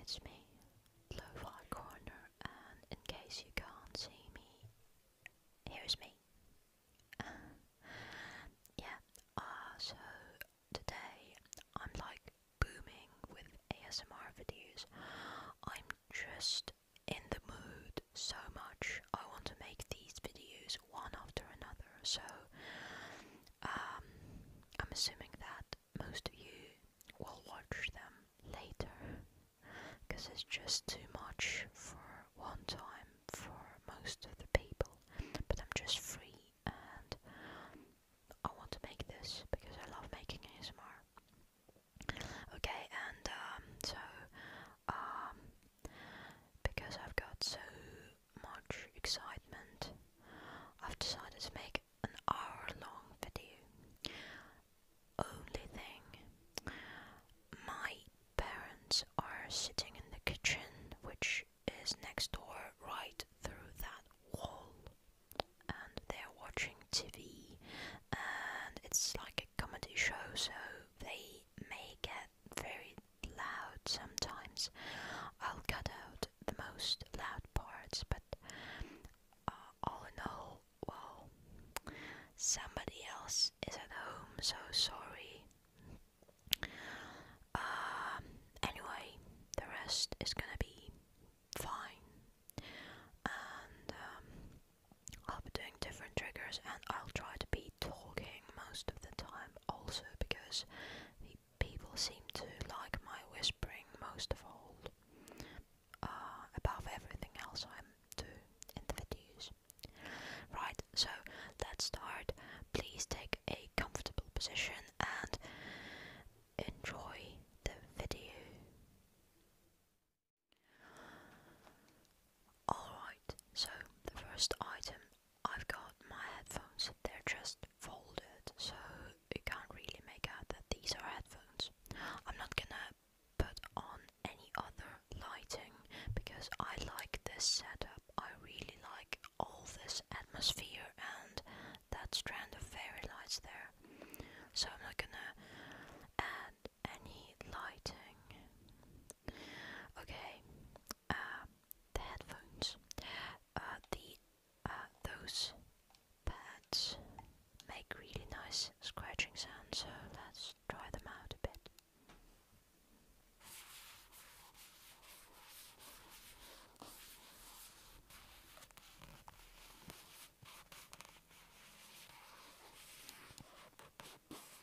it's me, Lo-Fi Corner, and in case you can't see me, here's me. yeah, uh, so today I'm like booming with ASMR videos. I'm just in the mood so much I want to make these videos one after another, so um, I'm assuming that most of you will watch them later because it's just too much for one time for most of the people. But I'm just free and I want to make this because I love making ASMR. Okay, and um, so um, because I've got so much excitement, I've decided to make an hour long video. Only thing, my parents are sitting in the kitchen, which is next door right through that wall, and they're watching TV, and it's like a comedy show, so they may get very loud sometimes. I'll cut out the most loud parts, but uh, all in all, well, somebody else is at home, so sorry. Um, anyway, the rest is gonna be fine, and um, I'll be doing different triggers, and I'll try to be talking most of the time also because people seem to like my whispering most of all uh, above everything else I do in the videos. Right, so let's start. Please take a comfortable position and enjoy the video. Alright, so the first item I've got my headphones. They're just folded, so you can't really make out that these are headphones. I'm not gonna put on any other lighting because I like this setup. I really like all this atmosphere and that strand of fairy lights there. So I'm not gonna add any lighting. Okay, um, uh, the headphones, uh, the those pads make really nice scratching sounds, so let's try them out a bit.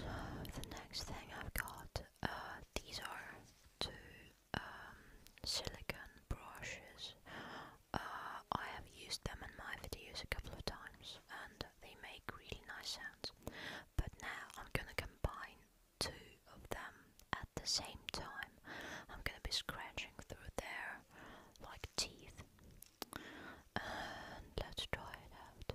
So the next thing I've got, uh, these are two um, brushes. Uh, I have used them in my videos a couple of times and they make really nice sounds. But now I'm gonna combine two of them at the same time. I'm gonna be scratching through there like teeth. And let's try it out.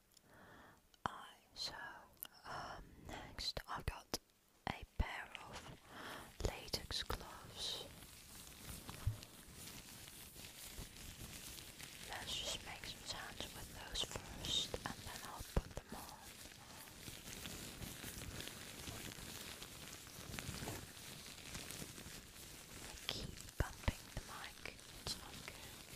so um, next I've got a pair of latex gloves. Let's just make some sounds with those first and then I'll put them on. I keep bumping the mic, it's not good.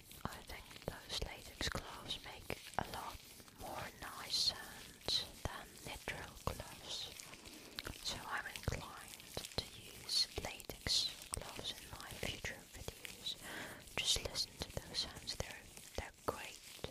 I think those latex gloves make a lot more noise sounds than natural gloves, so I'm inclined to use latex gloves in my future videos. Just listen to those sounds, they're, they're great.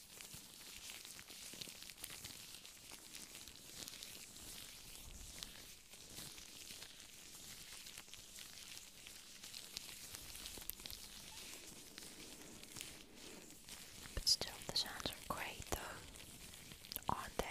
But still, the sounds are great though, aren't they?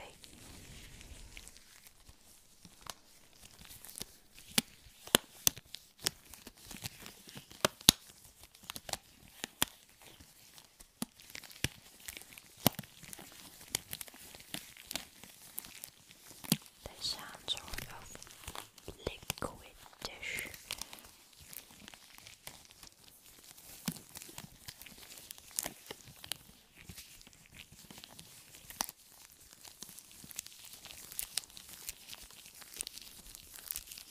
They sound sort of liquidish.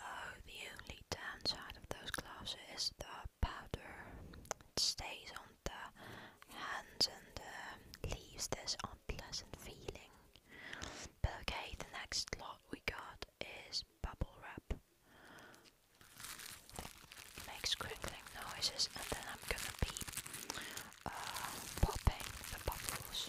Oh, the only downside of those glasses is the powder. It stays on the hands and uh, leaves this unpleasant feeling. But okay, the next lot we got is bubble wrap. It makes noises, and then I'm gonna be uh, popping the bubbles.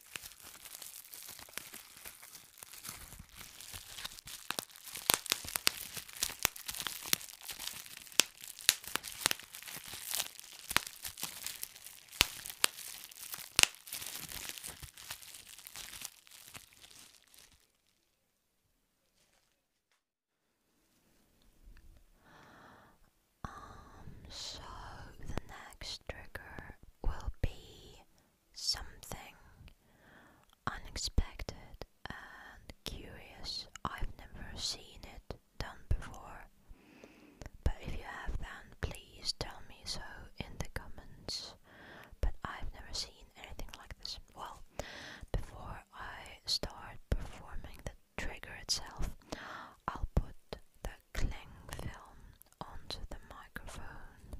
Um, so the next trigger will be something unexpected and curious. I've never seen it done before. But if you have, then please tell me so in the comments. But I've never seen anything like this. Well, before I start performing the trigger itself, I'll put the cling film onto the microphone,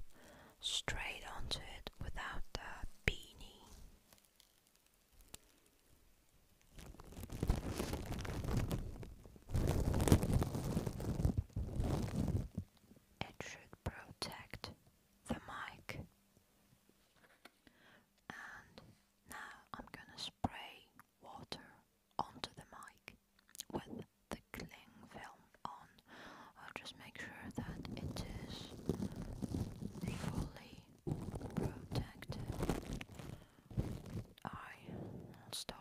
straight onto it without the beanie. It should protect the mic. And now I'm gonna spray water onto the mic with the cling film on. just make sure that it is fully protected. i start.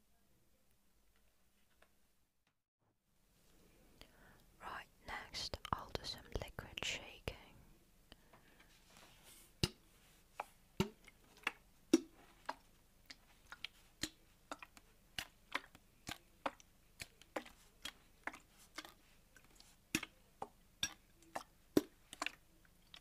Right, next I'll do some liquid shaking.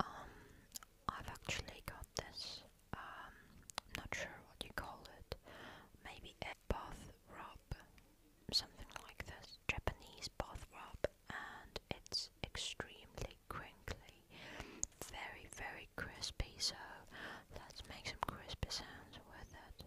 Um, I've actually got this, um, not sure what you call it, maybe bath rub, something like this, Japanese bath rub, and it's extremely crinkly, very, very crispy, so let's make some crispy sounds with it.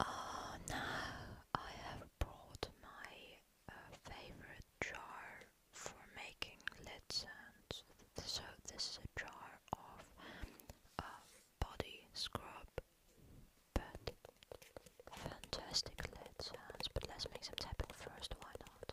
Oh, now I have brought my uh, favorite jar for making lid sounds. So, this is a jar of uh, body scrub, but fantastic lid sounds. But let's make some tapping first, why not?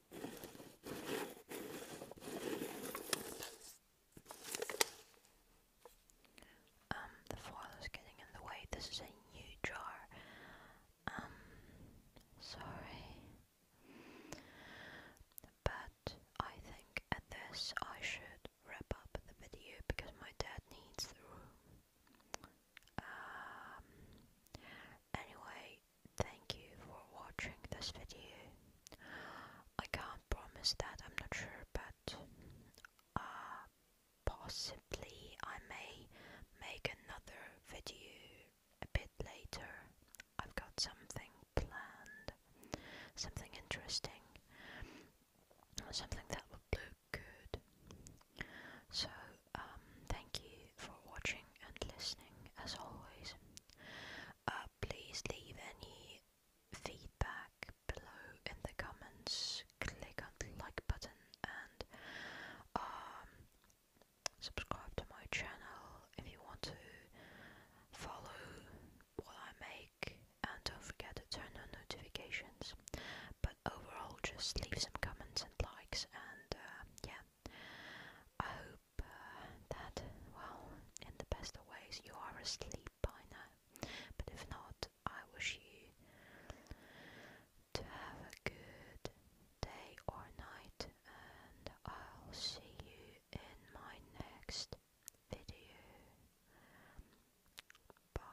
Um, the foil is getting in the way. This is a new jar. Um, sorry. But I think at this I should wrap up the video because my dad needs the room. Um, anyway, thank you for watching this video. I can't promise that, I'm not sure, but uh, possibly I may make another video a bit later. I've got something planned, something interesting, something that would look good. So, um, thank you for watching and listening as always. Uh, please leave any feedback below in the comments. Click on the like button and um, subscribe to my channel if you want to follow what I make and don't forget to turn on notifications. But overall, just leave some comments and likes, and uh, yeah, I hope that, well, in the best of ways, you are asleep by now. But if not, I wish you to have a good day or night, and I'll see you in my next video. Bye.